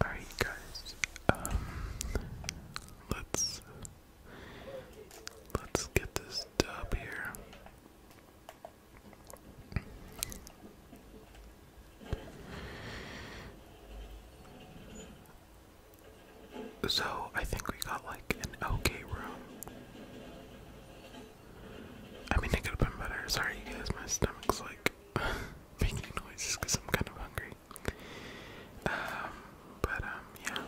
Alright, guys. Um, let's let's get this dub here. So I think we got like an okay room. I mean, it could have been better. Sorry, guys, my stomach's like making noises because I'm kind of hungry. Um, but, um,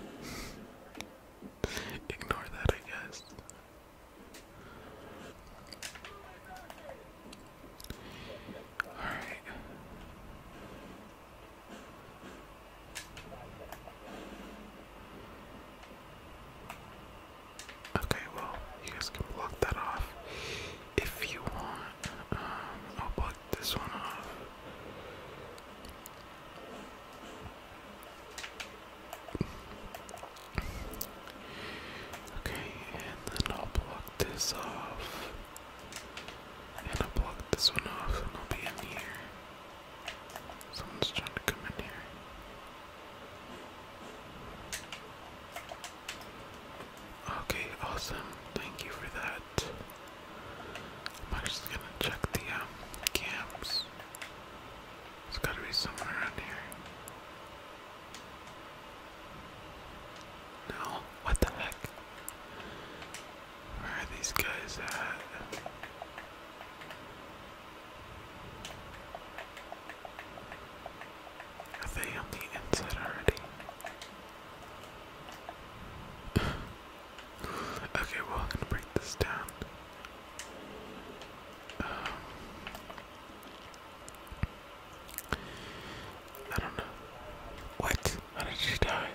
yeah. Ignore that, I guess. Alright. Okay, well, you guys can block that off if you want. Um, I'll block this one off. Okay, and then I'll block this off. I'm this one off I'll be in here. Someone's trying to come in here. Okay, awesome. Thank you for that. I'm actually gonna check the um, camps. has gotta be someone around here. No? What the heck? Where are these guys at? Are they on the inside already? okay, well, I'm gonna break this down. Um, I don't know. What? How did she die?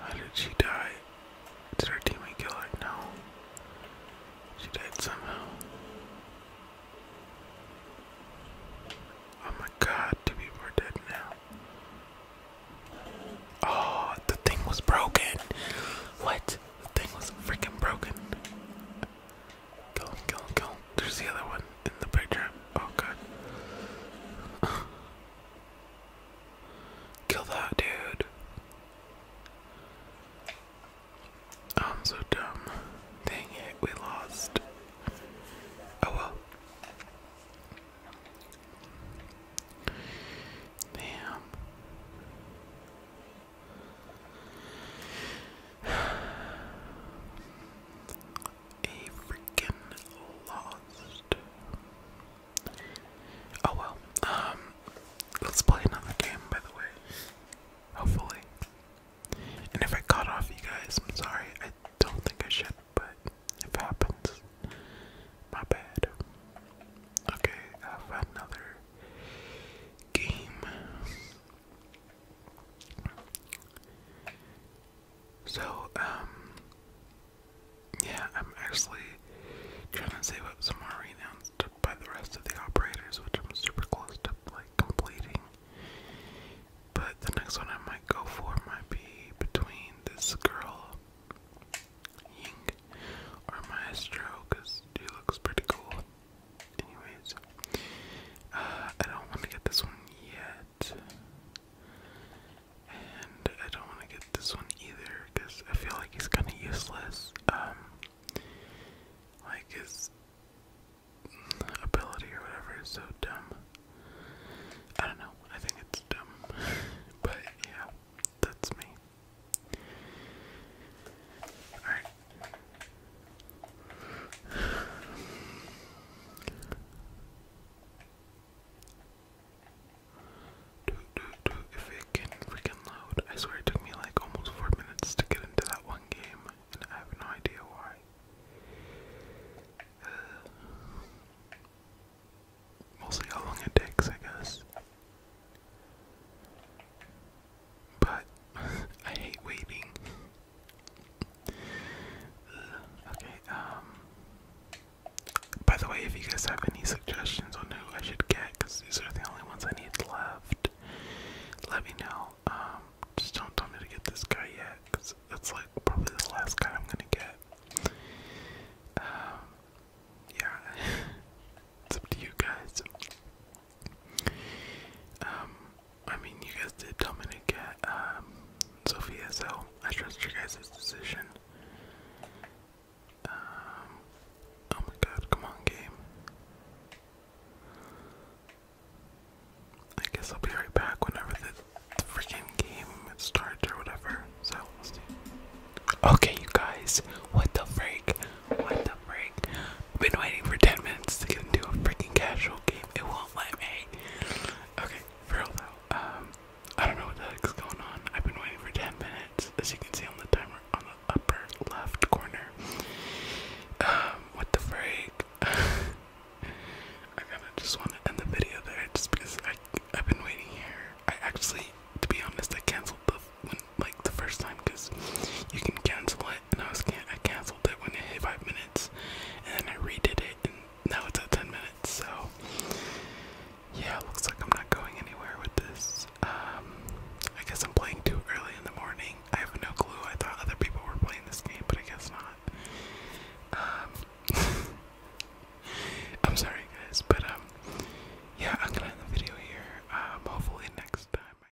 How did she die? Did her teammate kill her? No. She died somehow. Oh my god, two people are dead now. Oh, the thing was broken. What? The thing was freaking broken. Go, go, go. There's the other one in the picture? Oh, god! Kill that dude. I'm so dumb. Dang it, we lost. Oh well. Damn a freaking lost. Oh well. Um, let's play another game, by the way. Hopefully. And if I cut off you guys, I'm sorry. I don't think I should, but if it happens, my bad. Okay, I have another game. So, um, yeah, I'm actually trying to save up some more renounced by the rest of the operators, which I'm super close to like completing. But the next one I might go for might be between this girl, Ying, or Maestro, because he looks pretty cool. Anyways, uh, I don't want to get this one yet. And I don't want to get this one either because I feel like he's kind of useless. Um, like his ability or whatever is so dumb. I don't know. I think it's dumb. but yeah, that's me. Alright, Dude, dude, dude, if it can freaking load. I swear it took me like almost four minutes to get into that one game, and I have no idea why. we'll see how long it takes, I guess. But I hate waiting. Okay, um, by the way, if you guys have any suggestions on who I should get, because these are the only ones I need left, let me know. Um, just don't tell me to get this guy yet, because that's like probably the last guy I'm gonna get. Um, yeah, it's up to you guys. Um, I mean, you guys did tell me to get um, Sophia, so I trust your guys' decision. Um, oh my god, come on, game. I guess I'll be right back whenever the freaking game starts or whatever. So, Okay, you guys, what the freak? What the freak? Been waiting for 10 minutes to get into a freaking casual game. It won't let me. Okay, real though. Um, I don't know what the heck's going on. I've been waiting for 10 minutes. As you can see on the timer on the upper left corner. Um, what the freak? I kind of just want to end the video there just because I, I've been waiting here. I actually, to be honest, I canceled the when, like the first time because you can cancel it and I was I canceled it when it hit five minutes, and then I redid it, and now it's at ten minutes. So yeah, looks like I'm not going anywhere with this. Um, I guess I'm playing too early in the morning. I have no clue. I thought other people were playing this game, but I guess not. Um, I'm sorry guys, but um, yeah, I'm gonna end the video here. Um, hopefully next time.